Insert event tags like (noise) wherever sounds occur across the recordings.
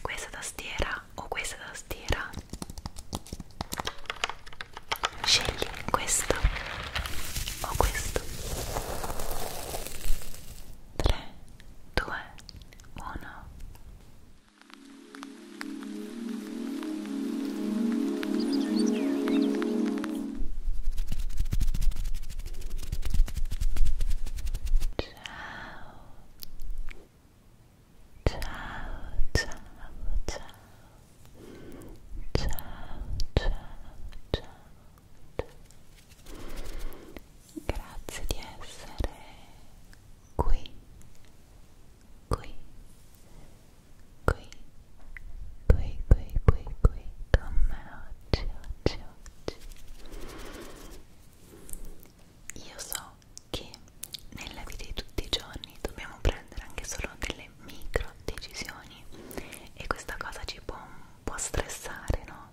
questa tastiera o questa tastiera scegli questo o questo 3 2 1 Ciao Ciao, ciao, ciao. Ciao, ciao, ciao, Grazie di essere qui, qui, qui, qui, qui, qui, qui, con oggi, oggi, oggi. io so che nella vita di tutti i giorni dobbiamo prendere anche solo delle micro decisioni e questa cosa ci può un po' stressare, no?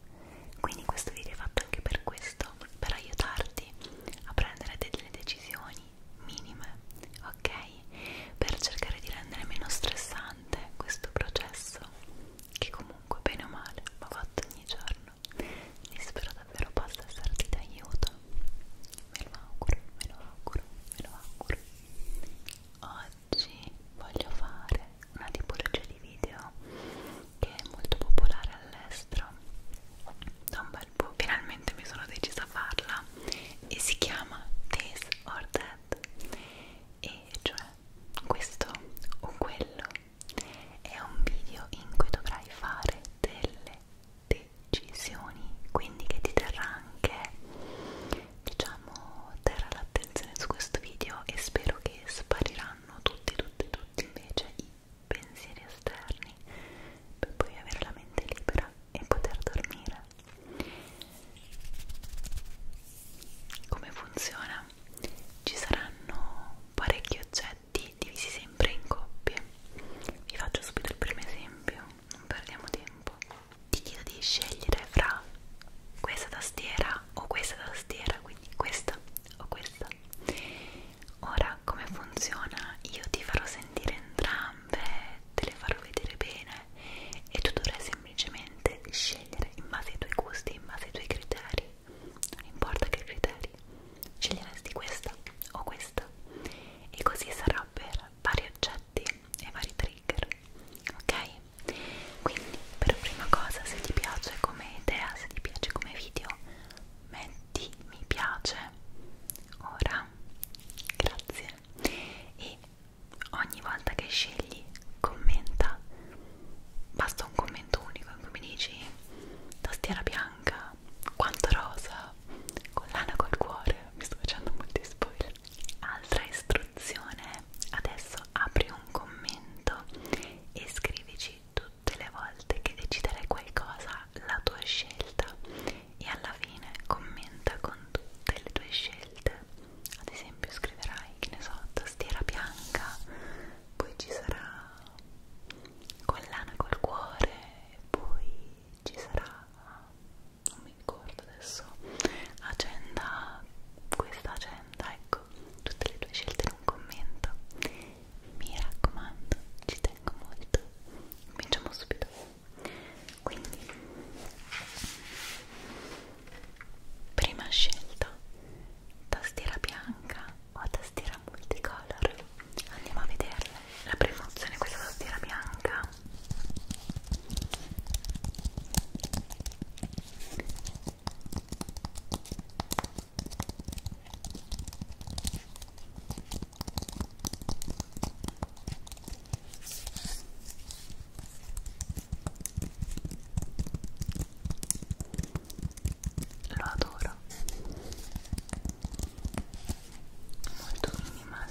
Quindi questo video è fatto anche per questo, per aiutarti a prendere delle decisioni minime, ok? Per cercare di rendere meno stressante questo processo che comunque bene o male va fatto ogni giorno inverno e spero davvero possa esserti d'aiuto me lo auguro, me lo auguro, me lo auguro oggi voglio fare una tipologia di video che è molto popolare all'estero da un bel po', finalmente mi sono decisa a farla e si chiama This or That e cioè questo o quello è un video in cui dovrai fare delle decisioni, quindi che ti terrà anche, diciamo, terrà l'attenzione su questo video e spero che spariranno tutti, tutti, tutti invece i pensieri esterni per poi avere la mente libera e poter dormire. Come funziona? Ci saranno parecchi oggetti oggetti divisi sempre in coppie. Vi faccio subito il primo esempio, non perdiamo tempo. Ti chiedo di scegliere fra questa tastiera o questa tastiera, quindi questa o questa. Ora come funziona? Io ti farò sentire entrambe, te le farò vedere bene e tu dovrai semplicemente scegliere in base ai tuoi gusti, in base ai tuoi criteri non importa che criteri, sceglieresti questa o questa e così sarà per vari oggetti e vari trigger, ok? Quindi per prima cosa se ti piace come idea, se ti piace come video, metti mi piace ora, grazie e ogni volta che scegli commenta basta un commento unico in cui mi dici tastiera bianca, quanto rosa, collana col cuore, mi sto facendo molti spoiler. Altra istruzione, adesso apri un commento e scrivici tutte le volte che deciderai qualcosa la tua scelta e alla fine commenta con tutte le tue scelte. Ad esempio scriverai, che ne so, tastiera bianca, poi ci sarà con l'ano e col cuore e poi ci sarà non mi ricordo adesso agenda questa agenda ecco tutte le tue scelte in un commento mi raccomando ci tengo molto cominciamo subito quindi prima scelta tastiera bianca ho tastiera multicolor andiamo a vederla la prima opzione è questa tastiera bianca lo adoro molto minimal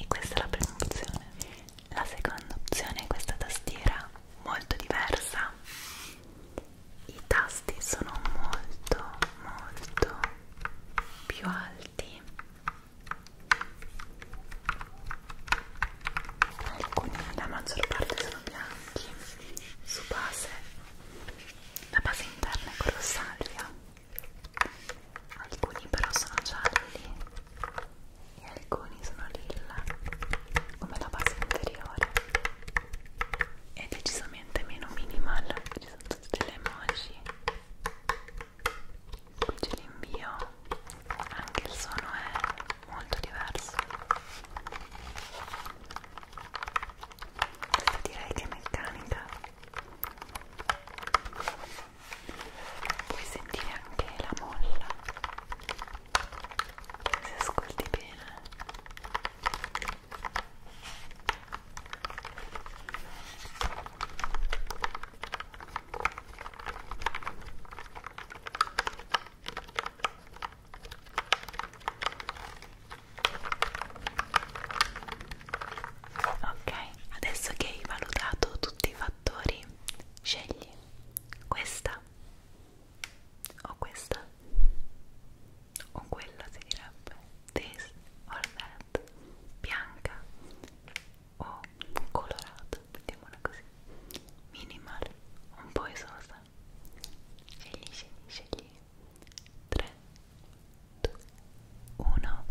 e questa è la prima opzione. La seconda opzione è questa tastiera molto diversa. I tasti sono molto molto più alti alcuni la maggior parte sono bianchi su base la base interna è color salvia alcuni però sono gialli e alcuni sono lilla come la base interiore è decisamente meno minimal ci sono tutte le emoji qui ce l'invio anche il suono è molto diverso questa direi che è meccanica puoi sentire anche la molla se ascolti bene Ok, adesso che hai valutato tutti i fattori, scegli questa o questa o quella si direbbe this or that bianca o colorato, mettiamola così, minimal, un po' esosa. Scegli, scegli, scegli. 3, 2, 1.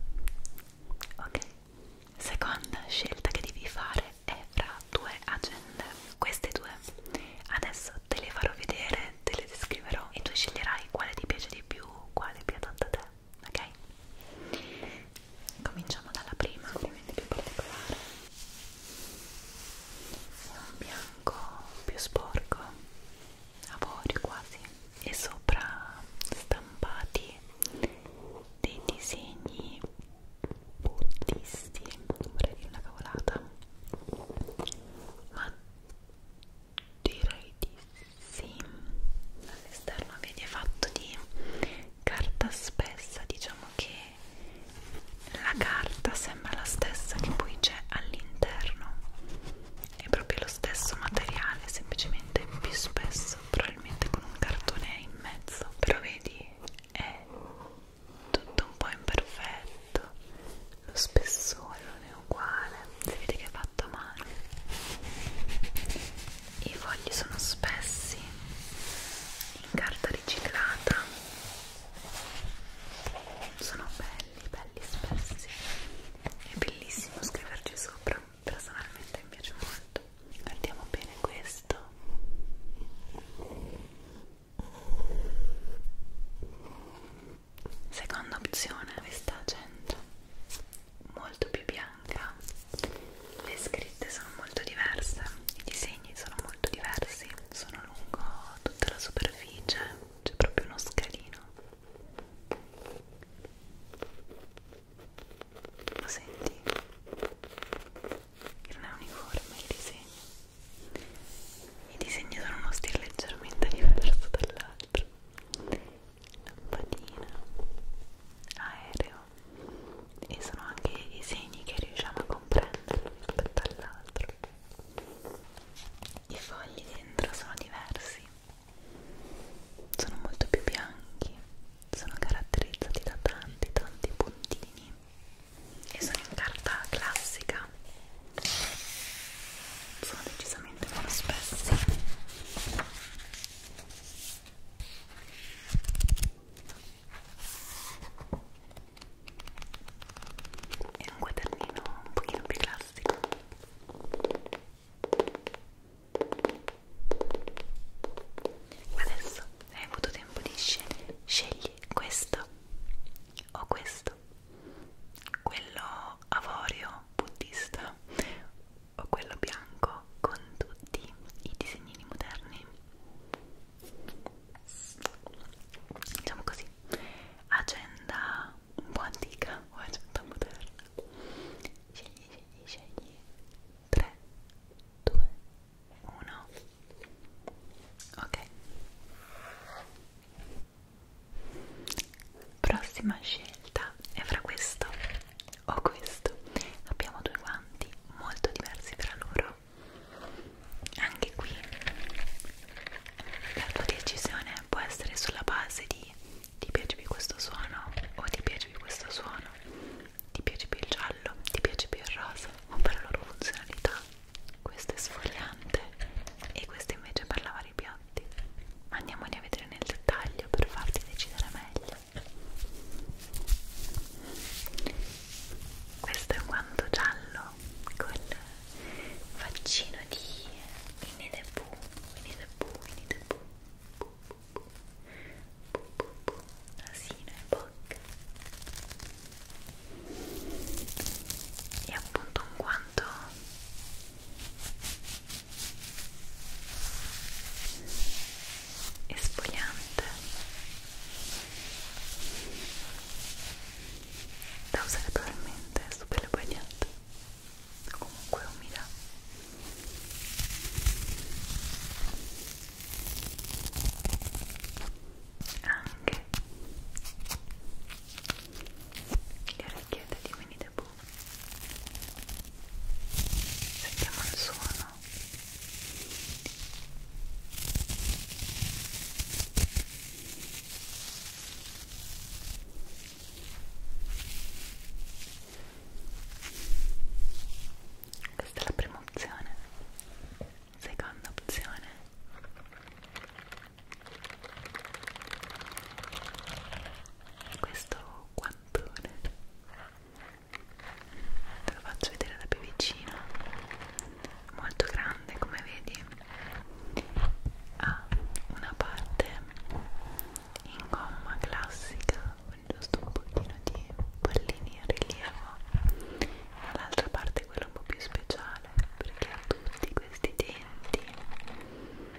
Ok. Seconda scelta che devi fare è fra due agende. Queste due. Adesso te le farò vedere, te le descriverò e tu sceglierai quale ti piace di più, quale è più adatta a te ok? Cominciamo dalla prima, ovviamente più particolare. È un bianco più sporco, avorio quasi, e sopra stampati dei disegni buddisti, vorrei dire una cavolata, ma direi di sì, all'esterno vedi è fatto di carta spessa, diciamo che la carta sembra la stessa che poi c'è all'interno, è proprio lo stesso materiale, semplicemente più spesso, probabilmente con un cartone in mezzo, però vedi è tutto un po' imperfetto, lo spessore non è uguale, si vede che è fatto a mano i fogli sono spessi in carta riciclata sono belli belli spessi è bellissimo scriverci sopra personalmente mi piace molto guardiamo bene questo seconda opzione questa 100 molto più bianca le scritte sono molto diverse i disegni sono molto diversi sono lungo tutta la superficie c'è proprio uno scalino lo senti? non è uniforme il disegno i disegni sono uno stile leggermente (laughs) diverso dall'altro lampadina, aereo e sono anche i segni che riusciamo a comprendere rispetto all'altro. I fogli dentro sono diversi, sono molto più bianchi, sono caratterizzati da tanti tanti puntini e sono in carta classica sono decisamente meno spessi è un quadernino un pochino più classico adesso hai avuto tempo di scegliere scegli questo o questo quello avorio buddista o quello bianco con tutti i disegnini moderni diciamo così agenda un po' antica o agenda moderna scegli scegli scegli 3 2 1 ok prossima scelta è fra questo ho questo abbiamo due guanti molto diversi tra loro anche qui la tua decisione può essere sulla base di ti piace più questo suono o ti piace più questo suono ti piace più il giallo ti piace più il rosa o per la loro funzionalità questo è sfogliante e questo invece per lavare i piatti andiamoli a vedere nel dettaglio per farti decidere meglio questo è un guanto giallo col faccino di Winnie the Pooh Winnie the Pooh, Winnie the Pooh Poo, poo, poo, poo, poo. nasino e bocca è appunto un guanto esfoliante da usare probabilmente su pelle bagnata o comunque umida anche le orecchiette di Winnie the boh sentiamo il suono questa è la prima opzione seconda opzione questo qua mattone te lo faccio vedere da più vicino molto grande come vedi ha una parte in gomma classica con giusto un pochino di pallini in rilievo l'altra parte è quella un po' più speciale perché ha tutti questi denti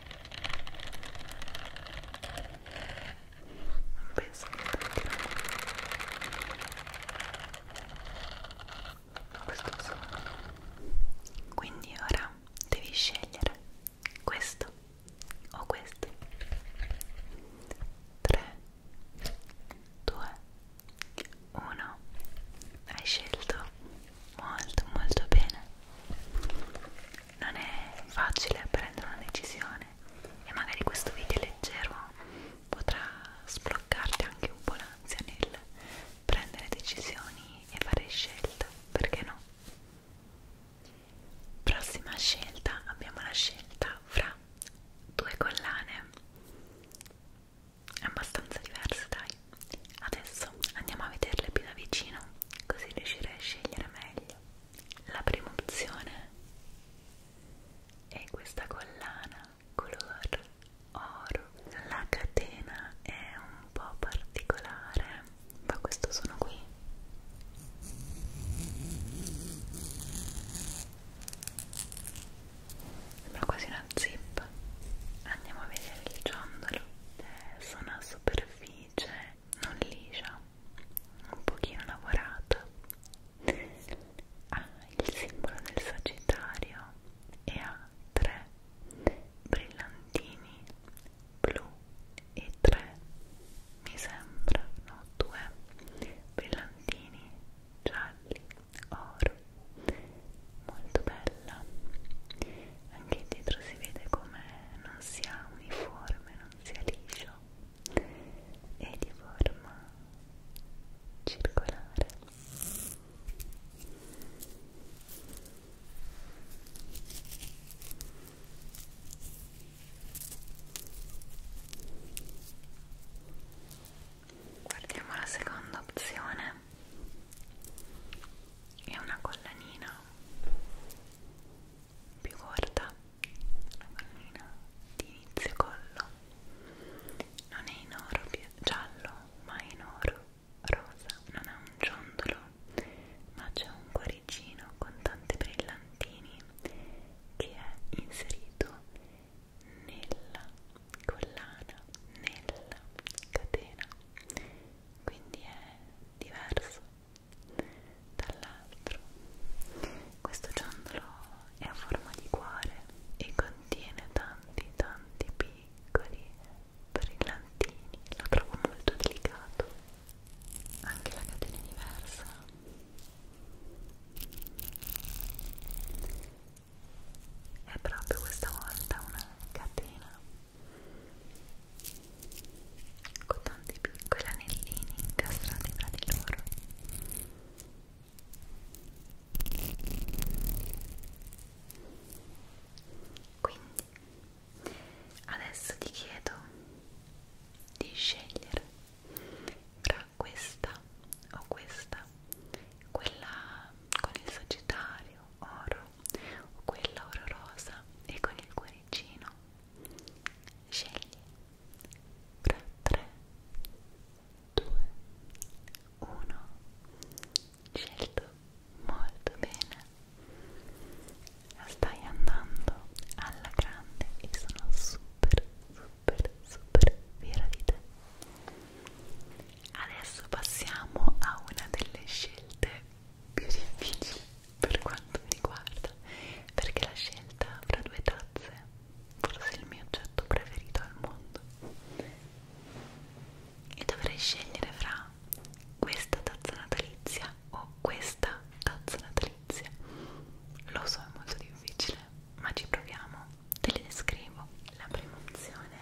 non penso che tanti questo suono quindi ora devi scegliere questo o questo 3 2 1 hai scelto molto molto bene non è facile prendere una decisione e magari questo video leggero potrà sbloccarti anche un po' l'ansia nel prendere decisioni e fare scelte, perché no? Prossima scelta, abbiamo la scelta fra due collane abbastanza diverse dai adesso andiamo a vederle più da vicino così riuscirei a scegliere meglio la prima opzione è questa collana color oro. La catena è un po' particolare, ma questo sono qui. Sembra quasi una zip. Andiamo a vedere il ciondolo. Eh, Su una superficie non liscia, un pochino lavorata ha il simbolo del sagittario e ha tre brillantini blu e tre mi sembra, no, due brillantini gialli oro molto bella anche dietro si vede come non sia uniforme, non sia liscio è di forma circolare Guardiamo la seconda opzione. È una collanina più corta la pallina di inizio collo non è in oro giallo ma è in oro rosa non ha un ciondolo ma c'è un cuoricino con tanti brillantini che è inserito nella collana nella catena quindi è diverso dall'altro questo ciondolo è a forma di cuore e contiene tanti tanti piccoli brillantini lo trovo molto delicato anche la catena è diversa è proprio questa volta una catena con tanti piccoli anellini incastrati tra di loro quindi adesso ti chiedo di scegliere tra questa o questa quella con il sagittario oro o quella oro rosa e con il cuoricino scegli fra 3 2 1 scelto molto bene stai andando alla grande e sono super super super fiera di te adesso passiamo a una delle scelte più difficile per quanto mi riguarda perché la scelta fra due tazze forse è il mio oggetto preferito al mondo e dovrei scegliere fra questa tazza natalizia o questa tazza natalizia lo so è molto difficile ma ci proviamo te le descrivo la prima opzione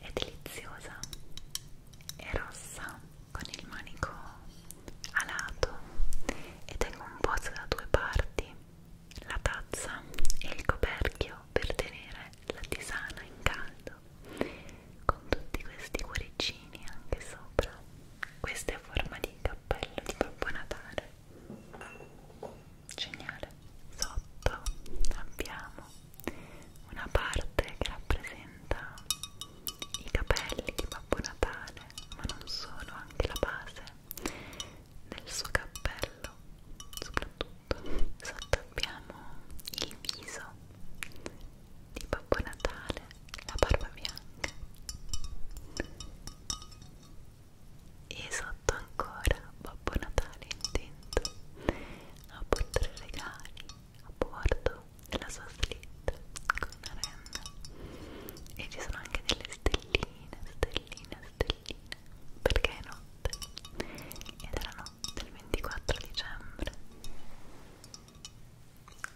è deliziosa è rossa con il manico alato e tengo un pozzo da due parti la tazza e il coperchio per tenere la tisana in caldo con tutti questi cuoricini anche sopra questa è forma di cappello di Babbo Natale geniale sotto abbiamo una parte che rappresenta i capelli di Babbo Natale, ma non solo, anche la base del suo cappello, soprattutto sotto abbiamo il viso di Babbo Natale, la barba bianca e sotto ancora Babbo Natale intento a portare regali a bordo della sua slitta con una renna e ci sono anche delle stelline, stelline, stelline perché è notte ed era notte il 24 dicembre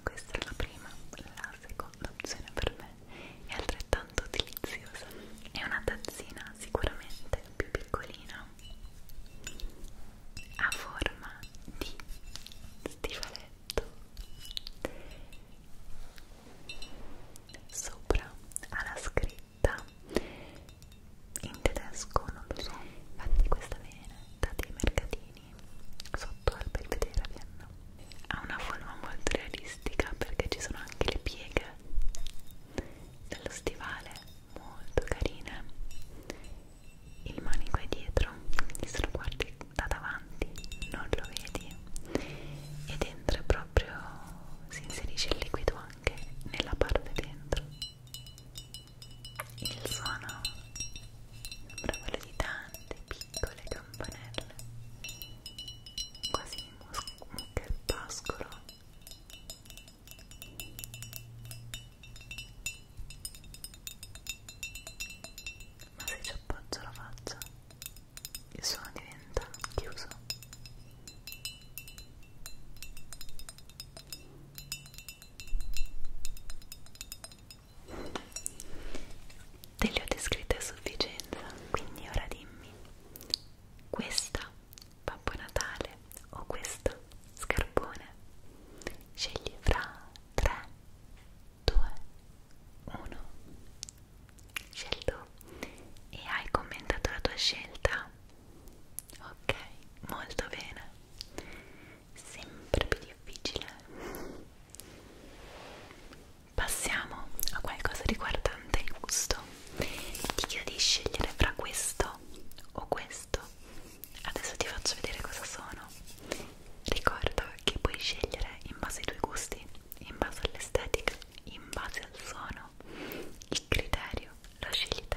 questa è la prima, la seconda opzione per me è altrettanto deliziosa è una tazzina sicuramente più piccolina a forma di stivaletto sopra alla scritta in tedesco non lo so infatti questa veneta dei mercatini sotto al belvedere a Vienna ha una forma molto realistica perché ci sono anche le pieghe dello stivale molto carine il manico è dietro, quindi se lo guardi da davanti non lo vedi e dentro è proprio si inserisce il liquido anche nella parte dentro il suono sembra quello di tante piccole campanelle quasi un muccherpascolo ma se ci appoggio la faccia, il suono diventa chiuso. Te le ho descritte a sufficienza, quindi ora dimmi questa Babbo Natale o questa scarpone scegli fra 3 2 1 scelto e hai commentato la tua scelta ok molto bene sempre più difficile passiamo a qualcosa riguardante il gusto ti chiedi di scegliere fra questo o questo adesso ti faccio vedere cosa sono ricorda che puoi scegliere in base ai tuoi gusti in base all'estetica in base al suono il criterio lo scegli te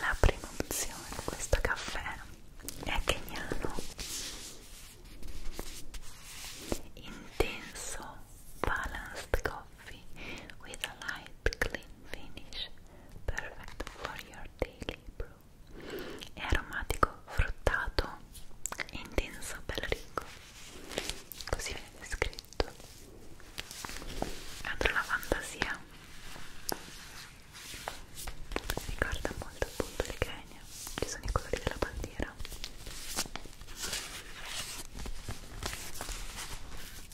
la prima opzione di questo caffè è keniano intenso balanced coffee with a light clean finish perfect for your Your Daily Brew è aromatico, fruttato e intenso, bello ricco così viene scritto adoro la fantasia mi ricorda molto appunto il Kenya ci sono i colori della bandiera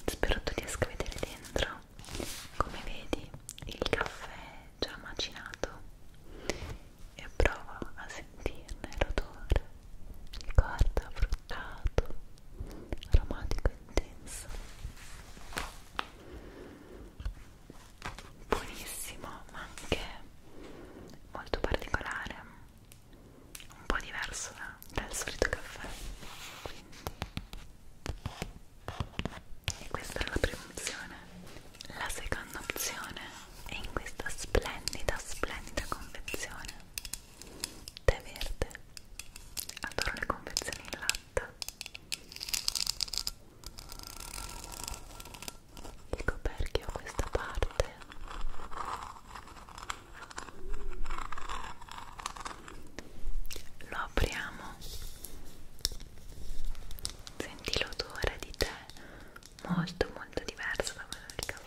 spero tu riesca a vedere dentro ora come vedi il caffè già macinato e prova a sentirne l'odore ricorda fruttato aromatico intenso buonissimo ma anche molto particolare un po' diverso dal solito caffè quindi e questa era la prima opzione la seconda opzione è in questa splendida splendida confezione tè verde adoro le confezioni in latta il coperchio a questa parte lo apriamo senti l'odore di tè molto molto diverso da quello del caffè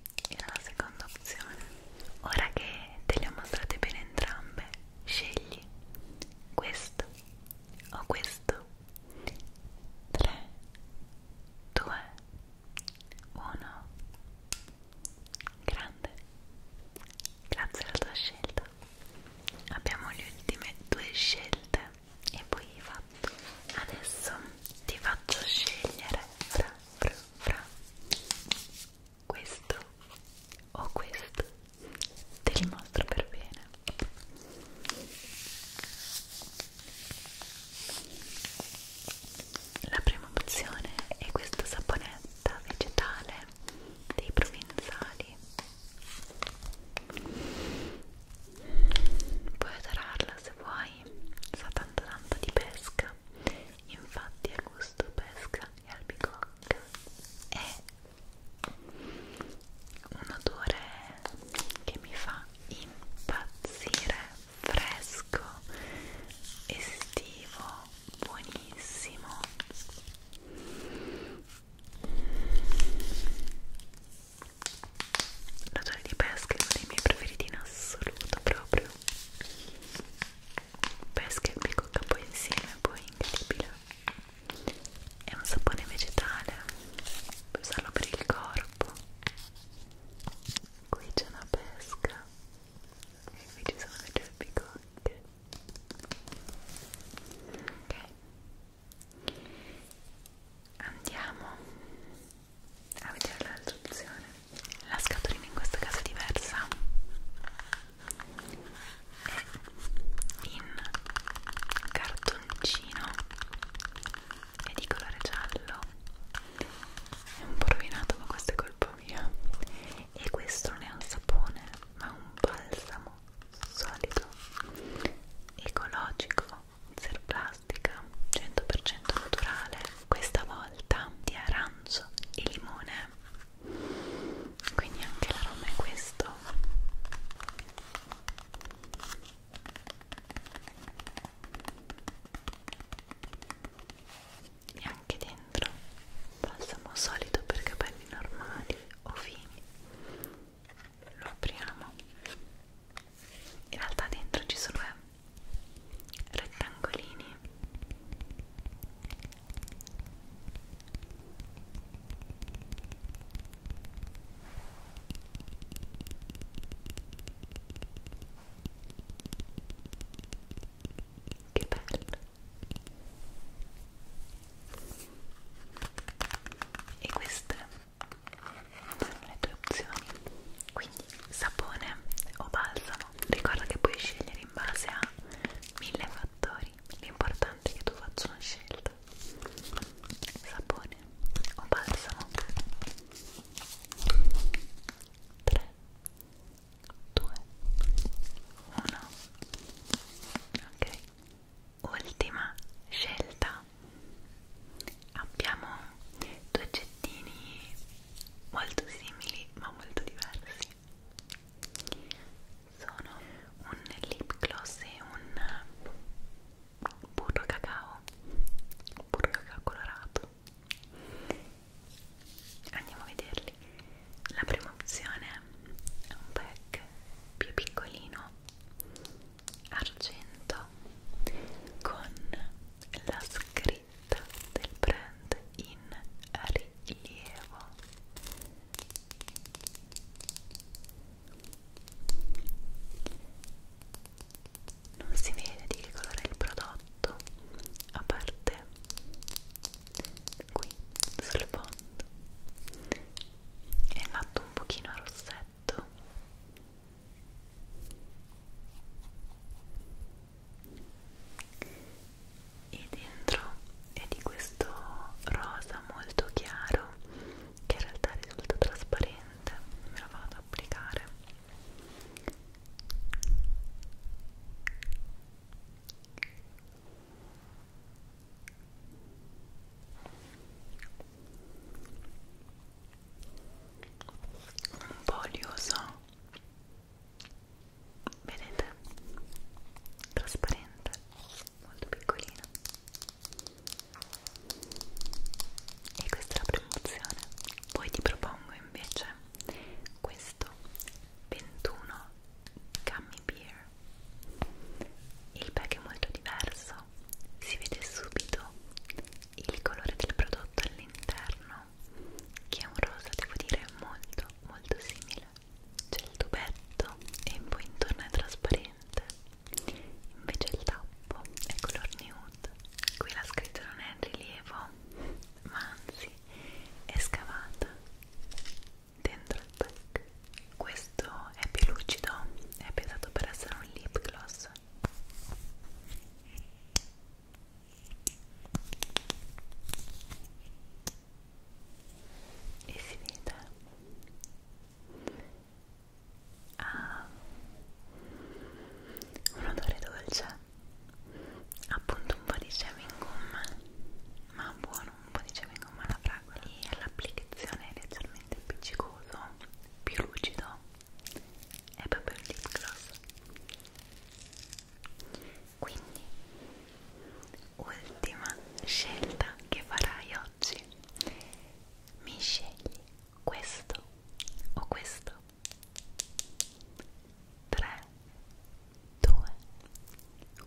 era la seconda opzione ora che te le ho mostrate bene entrambe scegli questo o questo 3 2 1 grande grazie alla tua scelta abbiamo le ultime due scelte e poi hai fatto adesso ti faccio scegliere fra fra fra questo o questo del mostro per bene la prima opzione è questa saponetta vegetale dei provenzali puoi adorarla se vuoi sa tanto tanto di pesca infatti a gusto gusto pesca e albicocca è un odore che mi fa impazzire fresco estivo buonissimo l'odore di pesca è uno dei miei preferiti in assoluto proprio pesca e bicocca poi insieme poi incredibile è un sapone vegetale puoi usarlo per il corpo qui c'è una pesca e qui ci sono le due bicocche ok andiamo a vedere l'altra opzione la scatolina in questo caso è diversa è in cartoncino è di colore giallo è un po' rovinato ma questa è colpa mia e questo non è un sapone ma un balsamo solido ecologico zero plastica 100% naturale questa volta di aran arancio e limone quindi anche l'aroma è questo e anche dentro balsamo solido per capelli normali o fini lo apriamo in realtà dentro ci sono rettangolini che bello e queste sono le tue opzioni quindi sapone o balsamo bravo ricorda che puoi scegliere in base a mille fattori l'importante è che tu faccia una scelta sapone o balsamo 3 2 1 ok ultima scelta abbiamo due oggetti oggettini molto simili ma molto diversi sono un lip gloss e un burro cacao burro cacao colorato andiamo a vederli la prima opzione è un pack più piccolino argento con la scritta scelta del brand in rilievo non si vede di che colore è il prodotto a parte qui sul fondo è fatto un pochino a rossetto e dentro è di questo rosa molto chiaro che in realtà risulta trasparente me lo vado ad applicare un po' olioso vedete? trasparente molto piccolina e questa è la promozione poi ti propongo invece questo 21 gummy beer il pack è molto diverso si vede subito il colore del prodotto all'interno che è un rosa devo dire molto molto simile c'è il tubetto e poi intorno è trasparente invece il tappo è color nude qui la scritta non è in rilievo ma anzi è scavata dentro il pack questo è più lucido è pensato per essere un lip gloss e si vede ha ah. un odore dolce appunto un po' di shaving gum ma buono un po' di shaving gum alla fragola e l'applicazione è leggermente appiccicoso più lucido è proprio un lip gloss quindi ultima scelta che farai oggi mi scegli questo o questo 3 2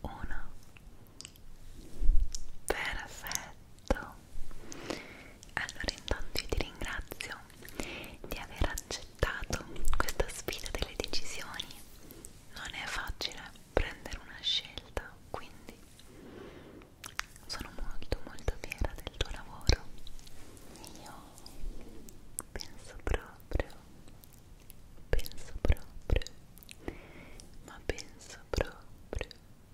1 perfetto allora intanto io ti ringrazio di aver accettato questa sfida delle decisioni. Non è facile prendere una scelta, quindi sono molto molto fiera del tuo lavoro. Io penso proprio, penso proprio, ma penso proprio,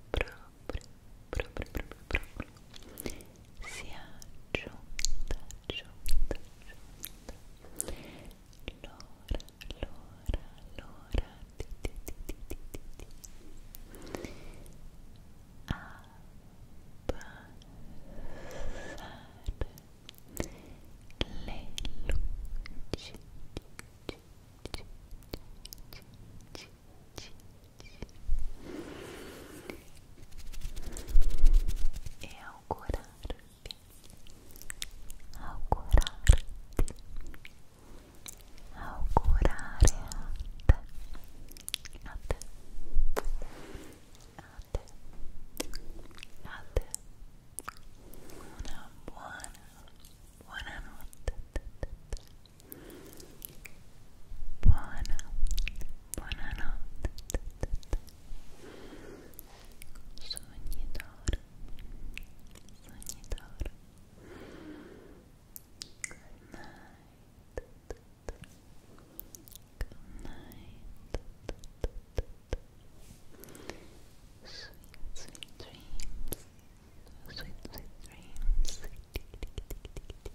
proprio, proprio, proprio, proprio, proprio sia giunta, giunta, giunta l'ora, l'ora, l'ora di, di, di, di, di, di abbassare le luci Abbassare e augurarti augurarti augurare a te a te a te a te una buona buonanotte buona, buonanotte sogni d'oro, sogni d'oro good night good night sweet, dreams sweet dreams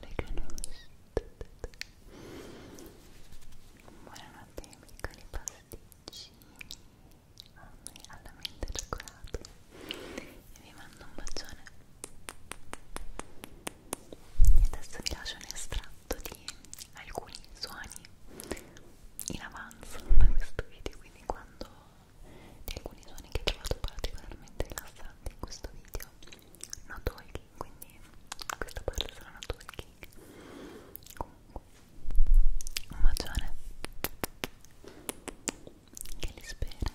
le canuste buonanotte ai piccoli pasticcini alla mente cioccolato e vi mando un bacione e adesso vi lascio un estratto di alcuni suoni in avanzo da questo video quindi quando di alcuni suoni che ho trovato particolarmente rilassanti in questo video no talking, quindi questa parte sarà no talking comunque un bacione che li spera